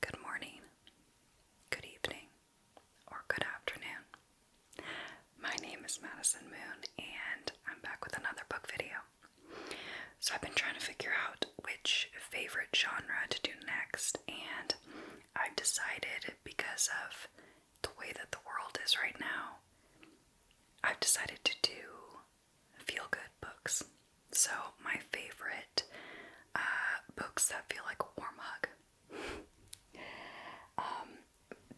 Good morning, good evening, or good afternoon. My name is Madison Moon, and I'm back with another book video. So, I've been trying to figure out which favorite genre to do next, and I've decided because of the way that the world is right now, I've decided to do feel good books. So, my favorite uh, books that feel like a warm hug. Um,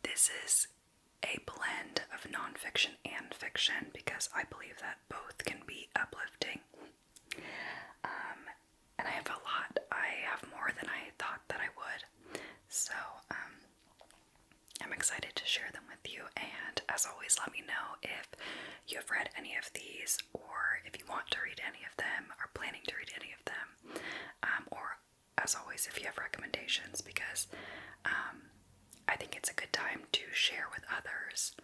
this is a blend of nonfiction and fiction because I believe that both can be uplifting. Um, and I have a lot. I have more than I thought that I would. So, um, I'm excited to share them with you, and as always, let me know if you have read any of these, or if you want to read any of them, or planning to read any of them, um, or as always, if you have recommendations, because um, I think it's a good time to share with others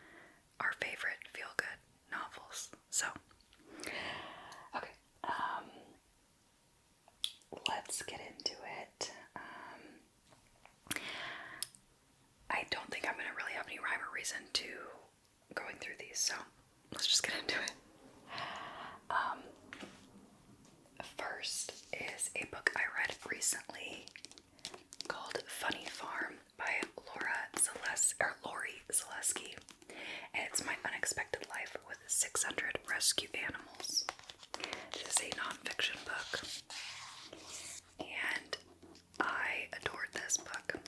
our favorite feel good novels. So, okay, um, let's get into it. Um, I don't think I'm going to really have any rhyme or reason to going through these, so let's just get into it. Um, first is a book I read recently called Funny Farm by Laura Zales or Lori Zaleski, and it's my unexpected life with 600 rescue animals. It is a nonfiction book, and I adored this book.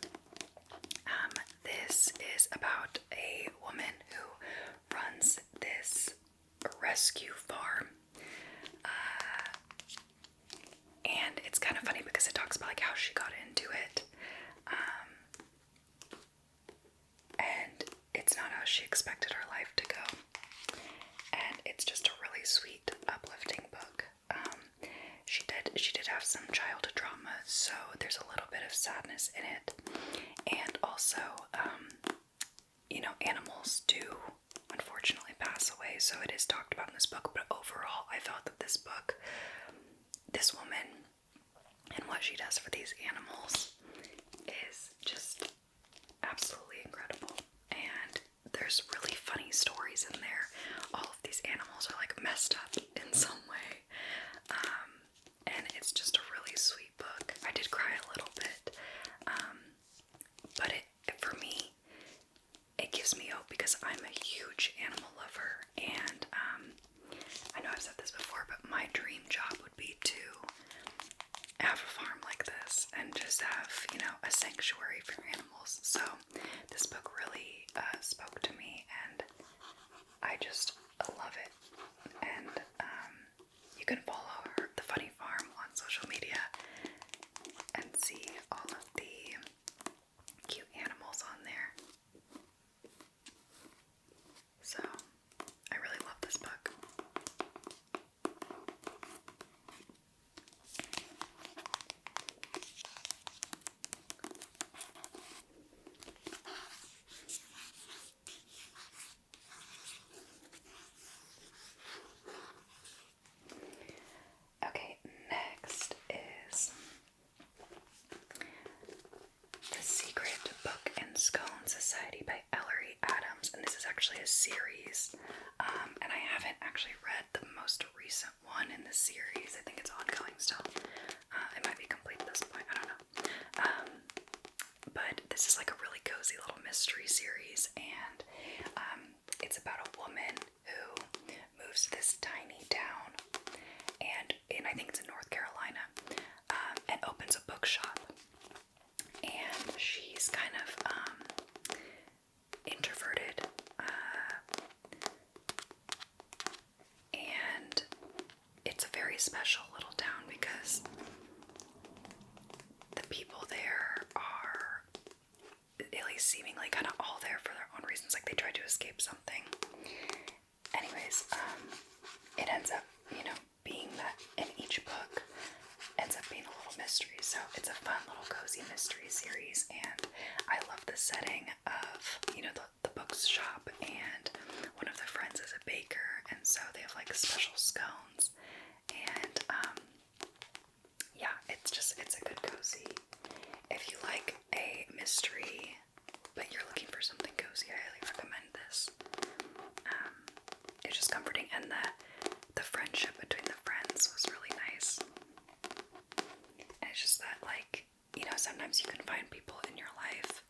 Um, this is about a woman who runs this rescue farm. Uh, and it's kind of funny because it talks about like how she got into it. Um, and it's not how she expected her life to go. And it's just a really sweet, uplifting book. Um, she did she did have some child drama, so there's a little bit of sadness in it, and also, um, you know, animals do unfortunately pass away, so it is talked about in this book. But overall, I felt that this book, this woman and what she does for these animals is just absolutely incredible. And there's really funny stories in there. All of these animals are like messed up in some way. Um, and it's just a really sweet book. I did cry a little bit, um, but it for me, it gives me hope because I'm a huge animal lover, and um, I know I've said this before, but my dream job would be to have a farm like this and just have, you know, a sanctuary for animals. So this book really uh, spoke to me and I just love it. And um, you can follow her, The Funny Farm on social media and see all of the cute animals on there. So, I really love this book. Okay, next is the Secret Book and Scone Society by Ellery Adams, and this is actually a series. Um, and I haven't actually read the most recent one in the series. I think it's ongoing still. Uh, it might be complete at this point. I don't know. Um, but this is like a really cozy little mystery series, and um, it's about a woman who moves to this tiny town, and and I think it's in North Carolina. Um, and opens a bookshop. And she's kind of um, introverted uh, and it's a very special little town because the people there are at least seemingly kind of all there for their own reasons like they tried to escape something anyways, um, it ends up, you know, being that in each book ends up being a little mystery. So it's a fun little cozy mystery series, and I love the setting of, you know, the, the book's shop, and one of the friends is a baker, and so they have like special scones, and um, yeah, it's just, it's a good cozy. If you like a mystery, but you're looking for something cozy, I highly recommend this. Um, it's just comforting, and the the friendship between the friends was really nice. And it's just that, like, you know, sometimes you can find people in your life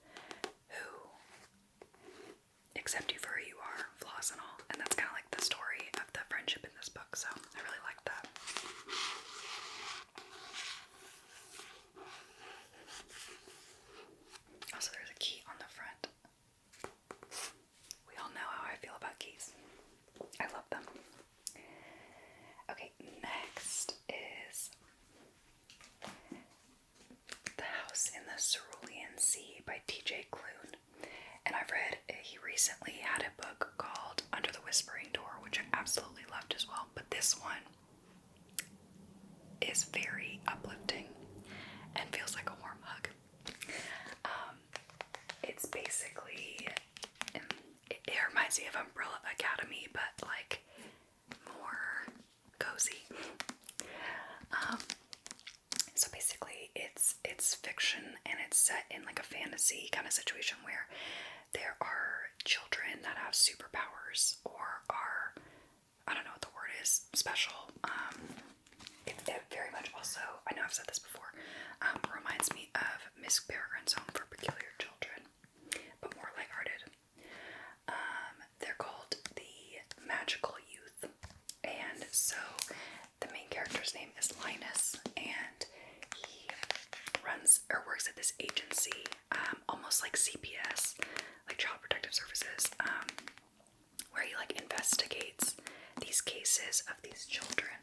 who accept you for who you are, flaws and all, and that's kind of like the story of the friendship in this book. So I really like that. Also, there's a key on the front. We all know how I feel about keys. I love them. Okay, next is The House in the Cerulean Sea by T.J. Klune. And I've read, eh, he recently had a book called Under the Whispering Door, which I absolutely loved as well. But this one is very uplifting and feels like a warm hug. Um, it's basically, um, it, reminds me of Umbrella Academy, but like more cozy. Um, so basically, it's it's fiction and it's set in like a fantasy kind of situation where there are children that have superpowers or are I don't know what the word is, special. Um, it, very much also, I know I've said this before, um, reminds me of Miss Peregrine's Home for Peculiar Children, but more lighthearted. Um, they're called the Magical Youth, and so the main character's name is Linus, and he runs or works at this agency um, almost like CPS, like Child Protective Services, um, where he like investigates these cases of these children.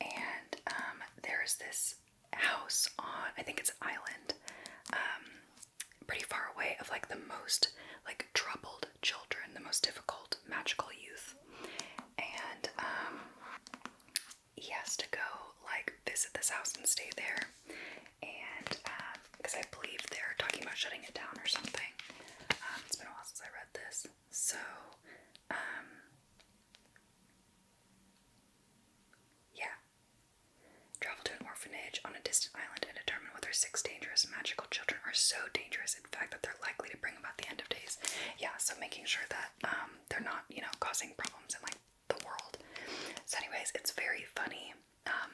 And um, there is this house on, I think it's an island, pretty far away of like the most like troubled children, the most difficult magical youth, and he has to go like visit this house and stay there and because um, I believe they're talking about shutting it down or something. Um, it's been a while since I read this, so um, yeah. Travel to an orphanage on a distant island and determine whether six dangerous magical children are so dangerous, in fact, that they're likely to bring about the end of days. Yeah, so making sure that they're not, you know, causing problems in like the world. So, anyways, it's very funny. Um,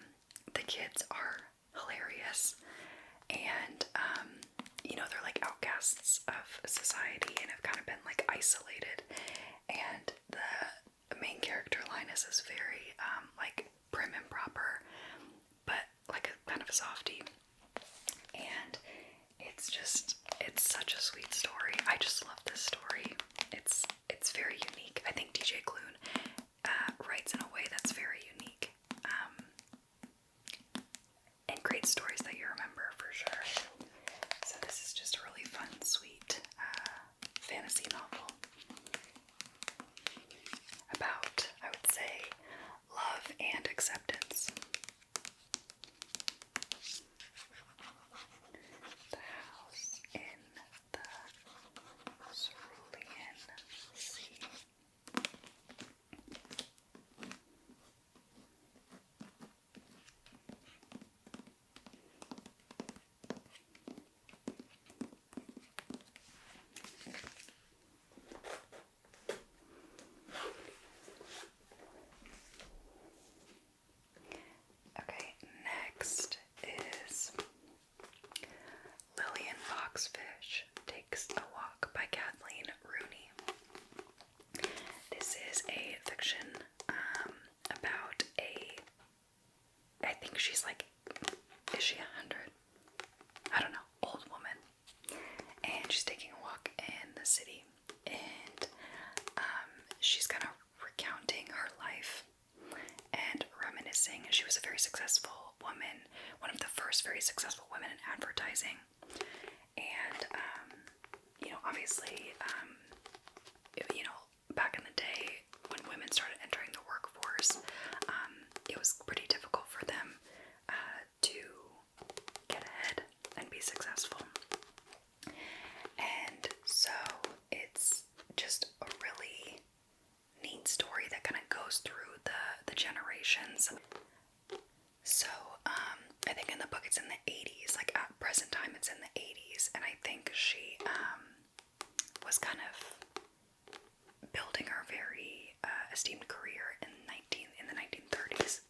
the kids are hilarious, and um, you know they're like outcasts of society and have kind of been like isolated. And the main character Linus is very um, like prim and proper, but like a kind of a softie. And it's just it's such a sweet story. I just love this story. It's it's very unique. I think DJ Clune uh, writes in a way that's very unique um, and great stories that you remember for sure. So, this is just a really fun, sweet uh, fantasy novel about, I would say, love and acceptance. The house in the cerulean Okay, next is Lillian Foxfish Takes a Walk by Kathleen Rooney. This is a fiction um, about a. I think she's like, is she a hundred? I don't know, old woman. And she's taking a walk in the city, and um, she's kind of recounting her life and reminiscing. She was a very successful woman, one of the first very successful women in advertising. And, um, you know, obviously, um, you know, back in the day when women started entering the workforce, um, it was pretty difficult for them uh, to get ahead and be successful. And so it's just really neat story that kind of goes through the the generations. So um, I think in the book it's in the 80s, like at present time it's in the 80s, and I think she um, was kind of building her very uh, esteemed career in 19 in the 1930s.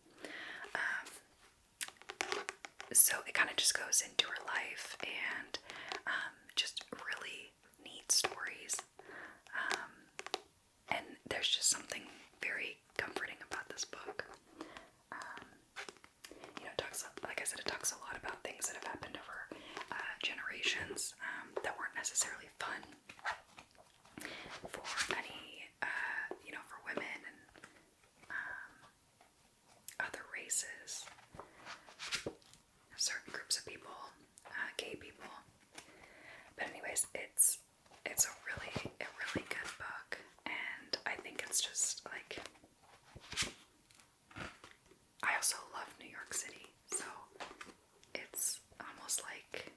Um, so it kind of just goes into her life and um, um, just really neat stories. Um, and there's just something very comforting about this book. Um, you know, it talks like I said, it talks a lot about things that have happened over uh, generations um, that weren't necessarily fun for any, uh, you know, for women and um, other races, certain groups of people, uh, gay people. But anyways, it's it's a really a really good book, and I think it's just like I also love New York City, so it's almost like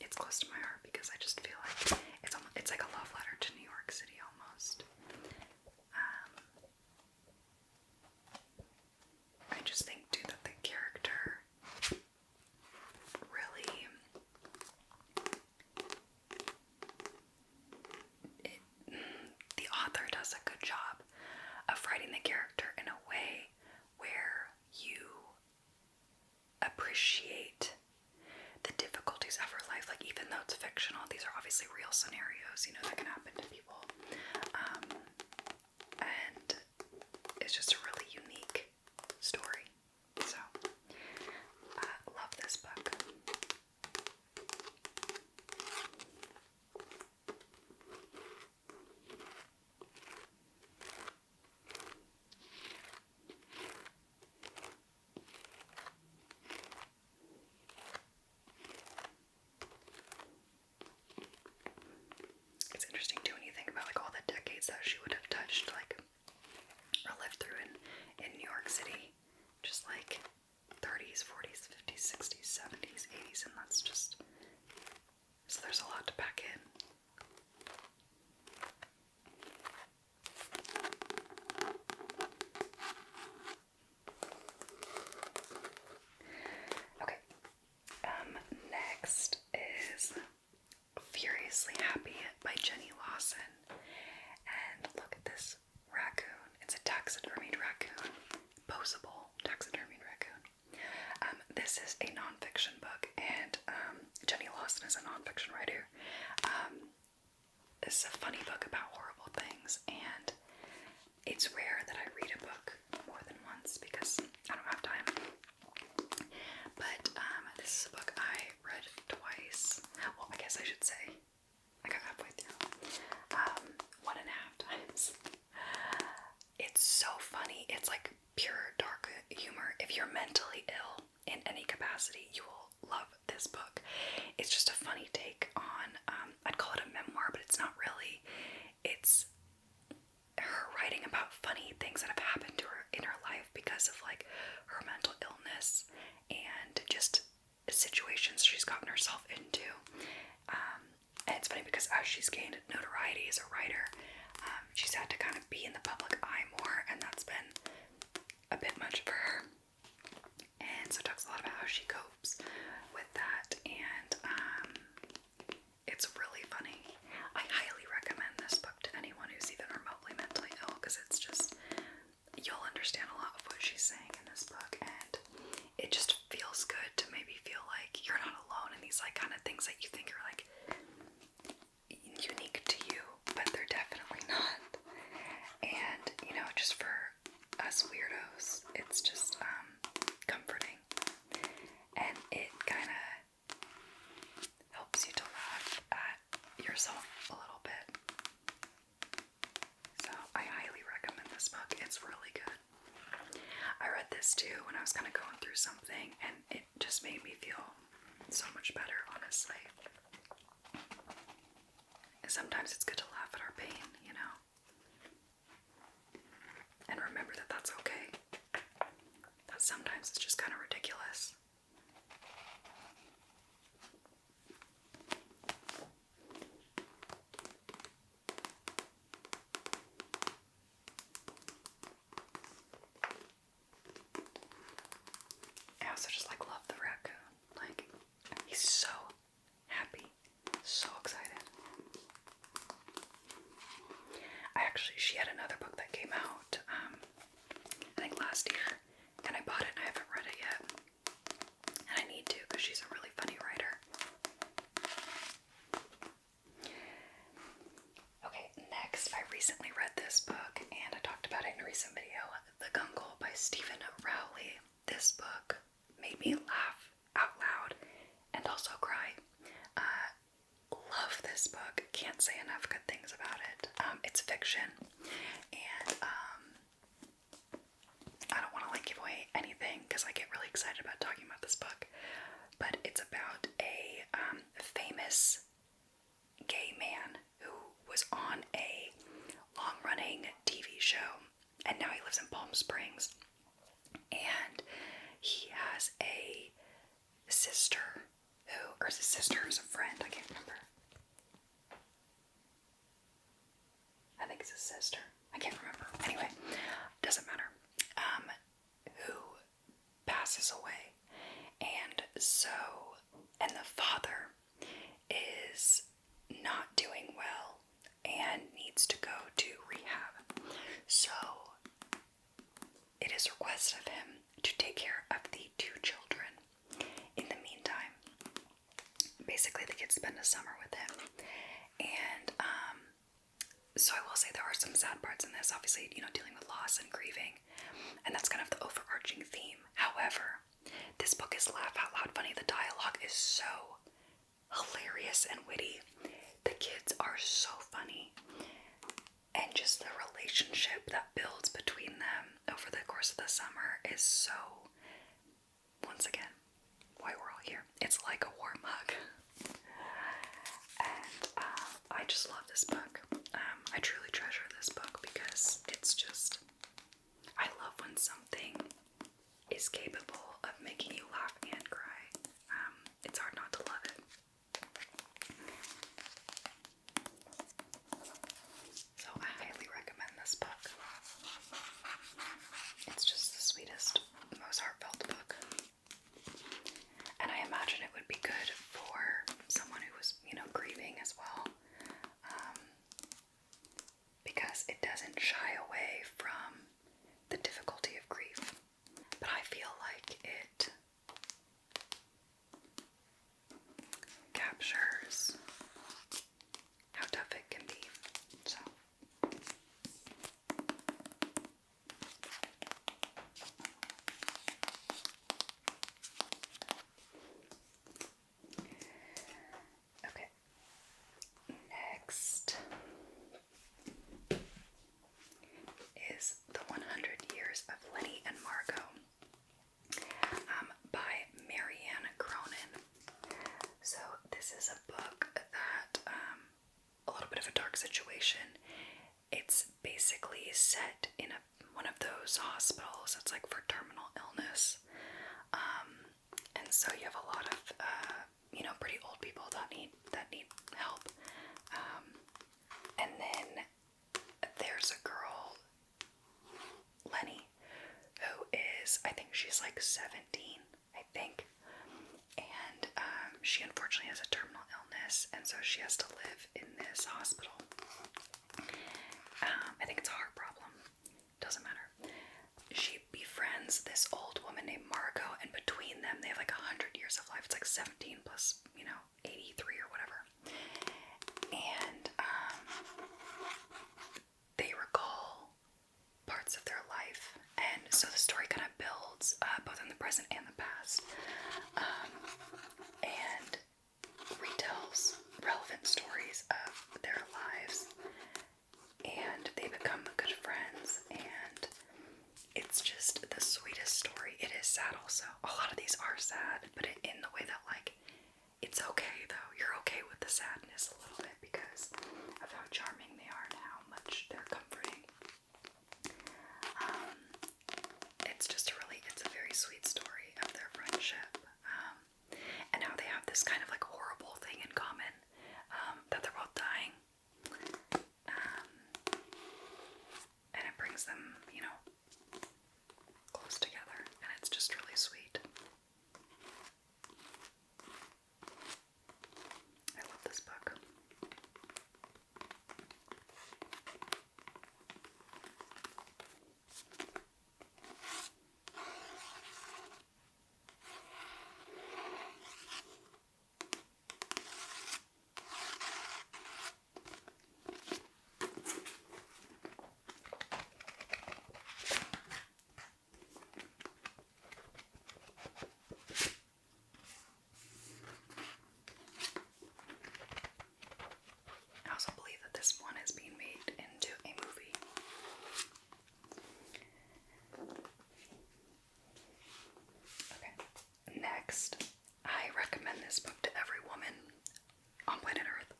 it's close to my heart because I just feel like it's almost, it's like a love letter to New York City almost. Um, I just think too that the character really the author does a good job of writing the character in a way where you appreciate the difficulties of her life. Like even though it's fictional, these are obviously obviously real scenarios, you know, that can happen to people. Um, and it's just a really unique story. So, I uh, love this book. It's interesting too when you think about like all the decades that she would have touched, like or lived through in in New York City, just like 30s, 40s, 50s, 60s, 70s, 80s, and that's just so there's a lot to pack in. Okay. Um, next is Furiously Happy by Jenny Lawson. And look at this raccoon. It's a taxidermied raccoon. Posable taxidermied raccoon. Um, this is a nonfiction book, and um, Jenny Lawson is a nonfiction writer. Um, it's a funny book about horrible things, and it's rare that I read a book more than once because I don't have time. But um, this is a book I read twice. Well, I guess I should say I got halfway through. Um, one and a half times. It's so funny. It's like pure dark humor. If you're mentally ill in any capacity, you will love this book. It's just a funny take on, um, I'd call it a memoir, but it's not really. It's her writing about funny things that have happened to her in her life because of like her mental illness and just situations she's gotten herself into. Um, and it's funny because as she's gained notoriety as a writer, um, she's had to kind of be in the public eye more, and that's been a bit much for her and so it talks a lot about how she copes with that, and um, it's really funny. I highly recommend this book to anyone who's even remotely mentally ill because it's just you'll understand a lot of what she's saying in this book, and it just feels good to maybe feel like you're not alone in these like kind of things that you think are like unique to you, but they're definitely not. And you know, just for us weirdos. It's just um, comforting. And it kind of helps you to laugh at yourself a little bit. So I highly recommend this book. It's really good. I read this too when I was kind of going through something, and it just made me feel so much better, honestly. Sometimes it's good to laugh at our pain, you know? And remember that that's okay. That sometimes it's just kind of ridiculous. I also just like love the raccoon. Like, he's so happy, so excited. I actually, she had another book that came out, um, I think last year, and I bought it and I haven't read it yet. And I need to because she's a really funny writer. Okay, next, I recently read this book and I talked about it in a recent video The Gungle by Stephen Rowley this book made me laugh out loud and also cry. Uh, love this book. Can't say enough good things about it. Um, it's fiction, and um, I don't want to like give away anything because I get really excited about talking about this book. But it's about a um, famous gay man who was on a long-running TV show and now he lives in Palm Springs. And he has a sister who, or is sister who's a friend, I can't remember. I think it's his sister. I can't remember. Anyway, doesn't matter. Um, who passes away. And so, and the father is not doing well and needs to go to rehab. So it is requested of him to take care of the two children. In the meantime, basically the kids spend the summer with him. And um, so I will say there are some sad parts in this, obviously, you know, dealing with loss and grieving. And that's kind of the overarching theme. However, this book is laugh out loud funny. The dialogue is so hilarious and witty. The kids are so funny. And just the relationship that builds between them over the course of the summer is so, once again, why we're all here. It's like a warm hug. And uh, I just love this book. Um, I truly treasure this book because it's just I love when something is capable of making you laugh and cry. Um, it's hard not to love it. So I highly recommend this book. It's just the sweetest, most heartfelt book. And I imagine it would be good for someone who was, you know, grieving as well. Um, because it doesn't shy away from the difficulty of grief. But I feel like it captures how tough it can be. Okay. Next is The 100 Years of Lenny and Margot um, by Marianne Cronin. So, this is a book that, um, a little bit of a dark situation. It's basically set in a, one of those hospitals that's like for terminal illness. Um, and so you have a lot of uh, you know pretty old people that need that need help. Um, and then there's a girl, Lenny, who is I think she's like seventeen, I think, and um, she unfortunately has a terminal illness, and so she has to live in this hospital. Um, I think it's a heart problem doesn't matter. She befriends this old woman named Marco, and between them, they have like 100 years of life. It's like 17 plus, you know, 83 or whatever. And um, they recall parts of their life. And so the story kind of builds uh, both in the present and the past. Um, and retells relevant stories of their lives and they become good friends and it's just the sweetest story. It is sad also. A lot of these are sad, but in the way that like it's okay though. You're okay with the sadness a little bit because of how charming they are and how much they're comforting. Um, it's just a really, it's a very sweet story of their friendship. Um, and now they have this kind of like horrible thing in common um, that they're both dying. Um, and it brings them, you know, close together, and it's just really sweet. I love this book. I also believe that this one is being made into a movie next, I recommend this book to every woman on planet Earth.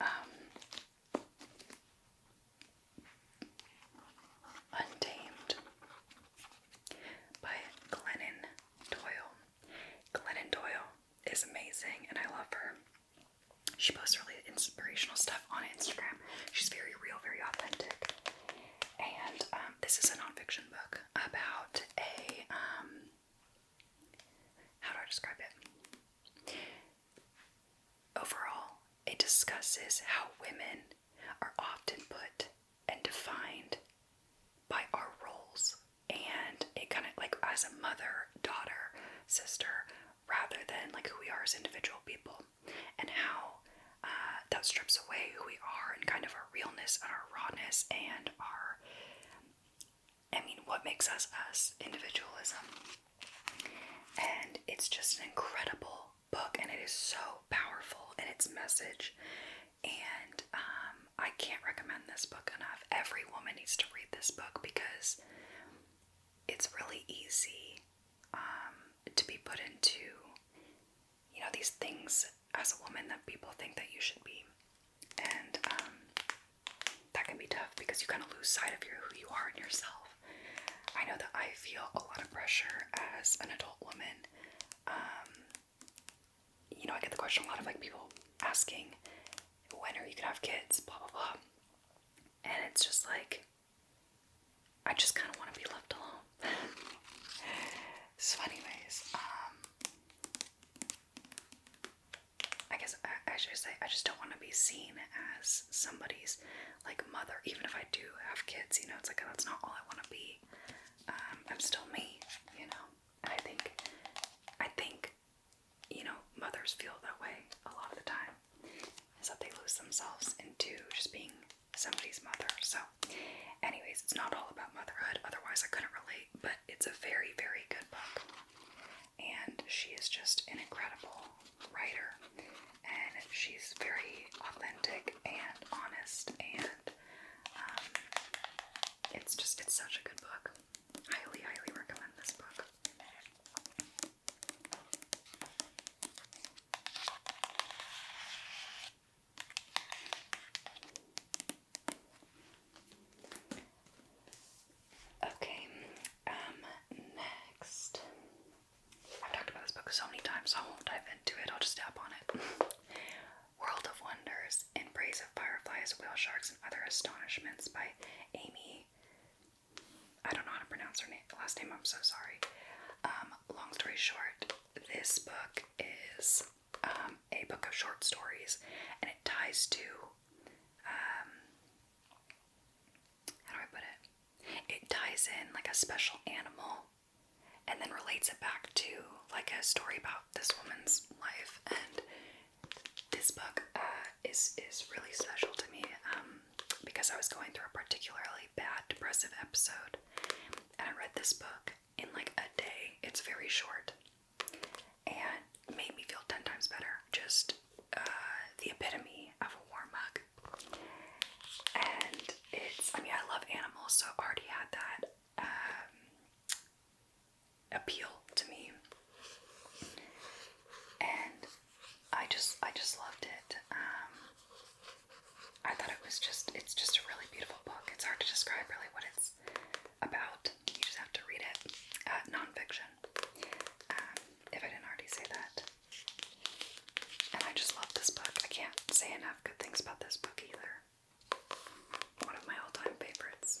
Um, Untamed by Glennon Doyle. Glennon Doyle is amazing and I love her. She posts really inspirational stuff on Instagram. She's very real, very authentic. And um, this is a nonfiction book about a um, how do I describe it? Overall, it discusses how women are often put and defined by our roles, and it kind of like as a mother, daughter, sister, rather than like who we are as individual people and how uh, that strips away who we are and kind of our realness and our rawness and our I mean what makes us us individualism and it's just an incredible book and it is so powerful in its message and um, I can't recommend this book enough every woman needs to read this book because it's really easy um, to be put into, you know, these things as a woman that people think that you should be. And um, that can be tough because you kind of lose sight of your, who you are and yourself. I know that I feel a lot of pressure as an adult woman. Um, you know, I get the question a lot of like people asking, when are you gonna have kids? Blah blah blah and it's just like I just kind of want to be left alone. so, anyways, um, I guess I, I should say I just don't want to be seen as somebody's like mother, even if I do have kids. You know, it's like that's not all I want to be. Um, I'm still me, you know. I think, I think you know, mothers feel that way a lot of the time is that they lose themselves into just being somebody's mother. So, anyways, it's not all about motherhood, otherwise, I couldn't relate, but it's a very, very good book. And she is just an incredible writer, and she's very authentic and honest, and um, it's just, it's such a good book. Highly, highly recommend this book. Okay, um, next. I've talked about this book so many times, I won't dive into it, I'll just tap on it. World of Wonders In Praise of Fireflies, Whale Sharks, and Other Astonishments by Amy I don't know how to pronounce her name, last name. I'm so sorry. Um, long story short, this book is um, a book of short stories, and it ties to um, how do I put it? It ties in like a special animal, and then relates it back to like a story about this woman's life. And this book uh, is is really special to me because I was going through a particularly bad depressive episode, and I read this book in like a day. It's very short and made me feel 10 times better. Just uh, the epitome of a warm hug. And it's, I mean, I love animals, so already had that um, appeal to me. And I just I just loved it. Um, I thought it was just it's just a really beautiful book. It's hard to describe really what it's about. You just have to read it. Uh, nonfiction. Um, if I didn't already say that. And I just love this book. I can't say enough good things about this book either. One of my all-time favorites.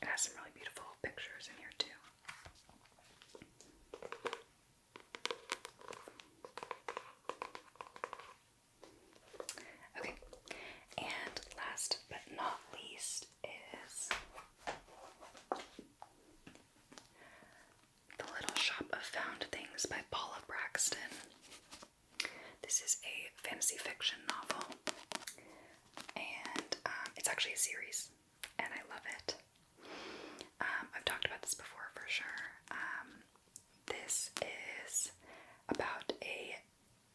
It has some really beautiful pictures in here, too. Okay, and last but not least is the Little Shop of Found Things by Paula Braxton. This is a fantasy fiction novel, and um, it's actually a series, and I love it. Um, I've talked about this before for sure. Um, this is about a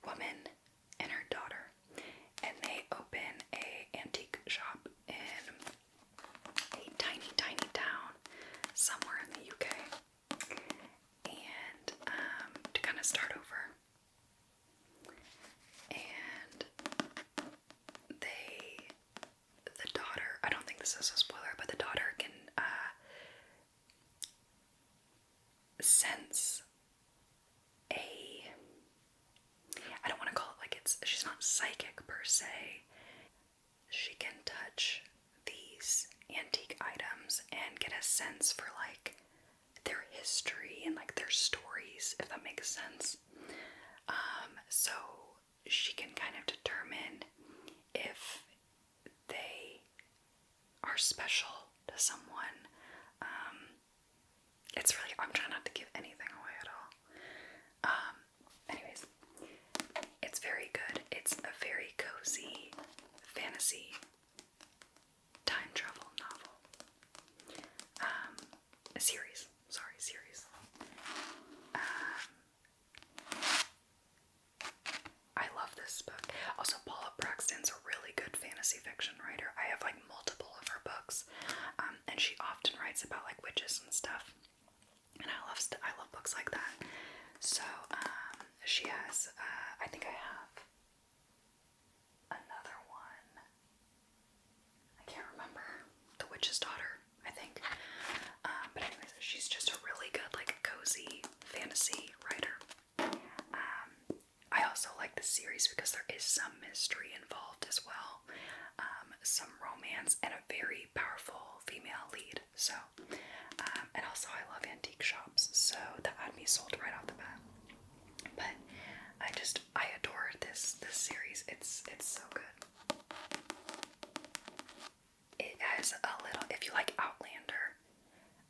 woman and her daughter, and they open a antique shop in a tiny, tiny town somewhere in the UK, and um, to kind of start over. And they, the daughter, I don't think this is a spoiler, but the daughter can uh, sense a. I don't want to call it like it's. She's not psychic per se, she can touch these antique items and get a sense for like their history and like their stories, if that makes sense. Um, so she can kind of determine if they are special to someone. Um, it's really, I'm trying not to give anything away at all. Um, anyways, it's very good. It's a very cozy fantasy time travel novel. Um, a series. Sorry, series. Um, I love this book. Also, Paula Braxton's a really good fantasy fiction writer. I have like multiple of her books, um, and she often writes about like witches and stuff and I love I love books like that. So um, she has. Uh, I think I have another one. I can't remember the Witch's Daughter. I think. Um, but anyways, she's just a really good like cozy fantasy writer. Um, I also like the series because there is some mystery involved as well, some romance, and a very powerful female lead. So, um, and also I love antique shops, so that had be sold right off the bat. But I just I adore this this series. It's it's so good. It has a little. If you like Outlander,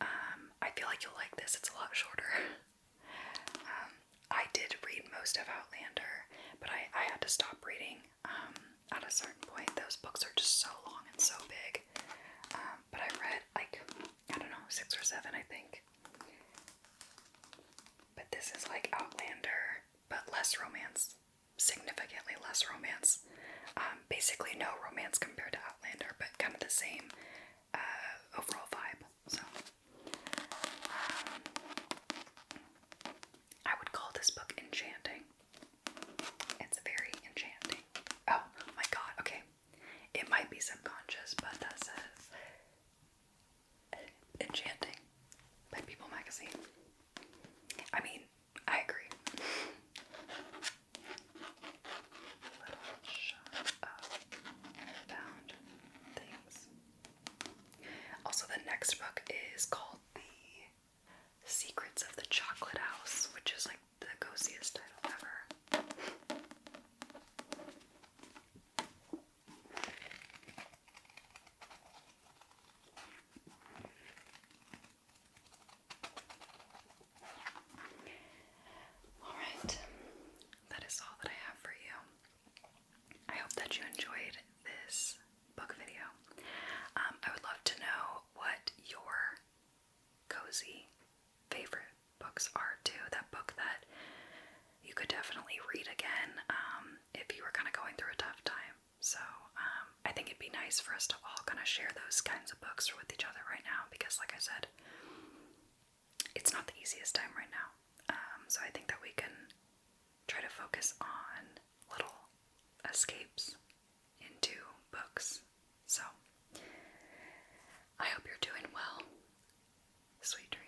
um, I feel like you'll like this. It's a lot shorter. Um, I did read most of Outlander, but I I had to stop reading um, at a certain point, those books are just so long and so big. Um, but I read like I don't know six or seven, I think. But this is like Outlander, but less romance, significantly less romance. Um, basically, no romance compared to Outlander, but kind of the same uh, overall vibe. So, I would call this book enchanting. It's very enchanting. Oh my god, okay. It might be subconscious, but that says Enchanting by People Magazine. I mean, I agree. Also, the next book is called The Secrets of the Chocolate House, which is like the coziest title ever. All right, that is all that I have for you. I hope that you enjoyed this book video. Um, I would love to know what your cozy favorite books are too. That book that you could definitely read again um, if you were kind of going through a tough time. So um, I think it'd be nice for us to all kind of share those kinds of books with each other right now because, like I said, it's not the easiest time right now. so I think that we can try to focus on little escapes into books. So, I hope you're doing well. Sweet dreams.